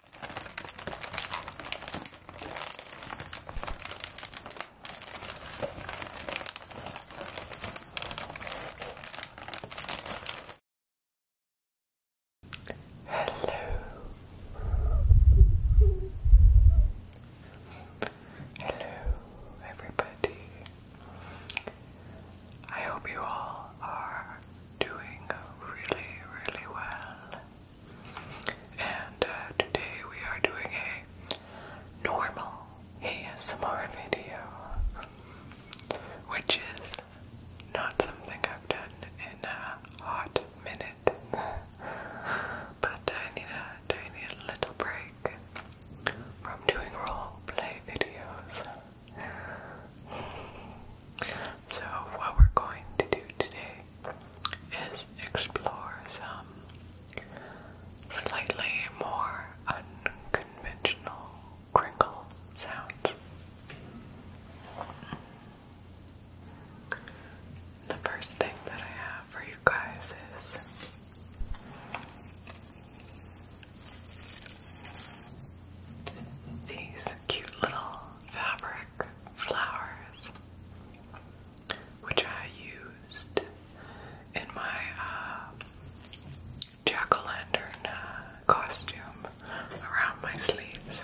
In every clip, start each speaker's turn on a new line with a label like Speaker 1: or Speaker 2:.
Speaker 1: Hello. Hello, everybody. I hope you all are doing really, really well. And uh, today we are doing a normal ASMR video, which is not something I've done in a hot minute. but I need a little break from doing role play videos. So, what we're going to do today is explore some slightly more unconventional crinkle sounds. The first thing that I have for you guys is these cute little fabric flowers, which I used in my uh, jack o' lantern uh, costume around my sleeves.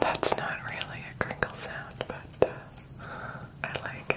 Speaker 1: That's not really a crinkle sound, but uh, I like it.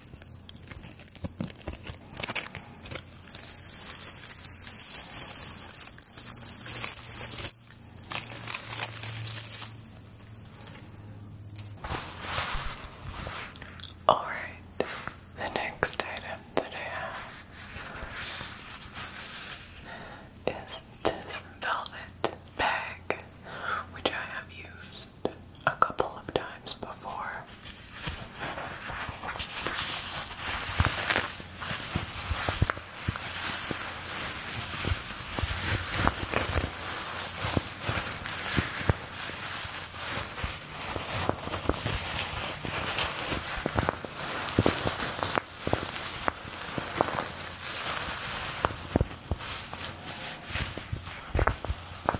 Speaker 1: All right, the next item that I have is this velvet bag, which I have used a couple of times before.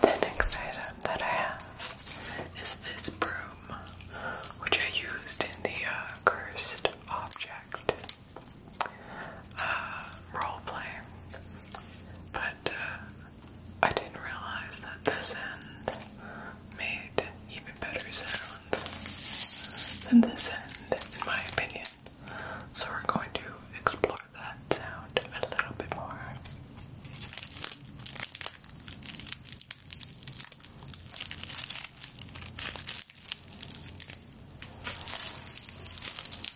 Speaker 1: The next item that I have is this broom, which I used in the uh, cursed object uh, but uh, I didn't realize that this end made even better sounds than this end, in my opinion. So we're going to explore that sound a little bit more.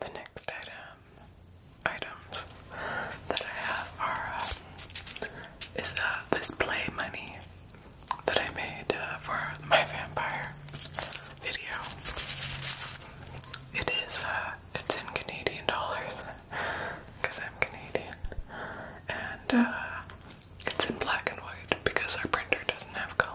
Speaker 1: The next item items that I have are um, is uh, this money that I made uh, for my vampire video. It is uh, it's in Canadian dollars because I'm Canadian, and uh, it's in black and white because our printer doesn't have color.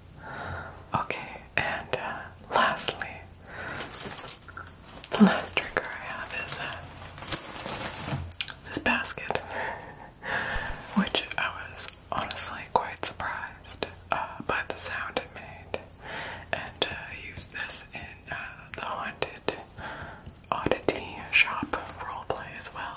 Speaker 1: Okay, and uh, lastly, the last trigger I have is uh, this basket, which I was honestly quite surprised uh, by the sound it made, and I used this in the haunted oddity shop role play as well.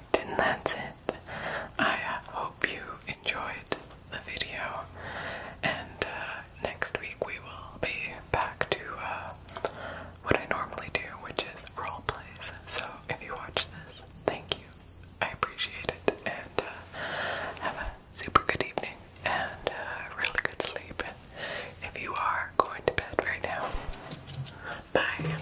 Speaker 1: and that's it. I hope you enjoyed the video, and uh, next week we will be back to uh, what I normally do, which is role plays. So if you watch this, thank you. I appreciate it, and uh, have a super good evening and uh, really good sleep. If you are going to bed right now, bye.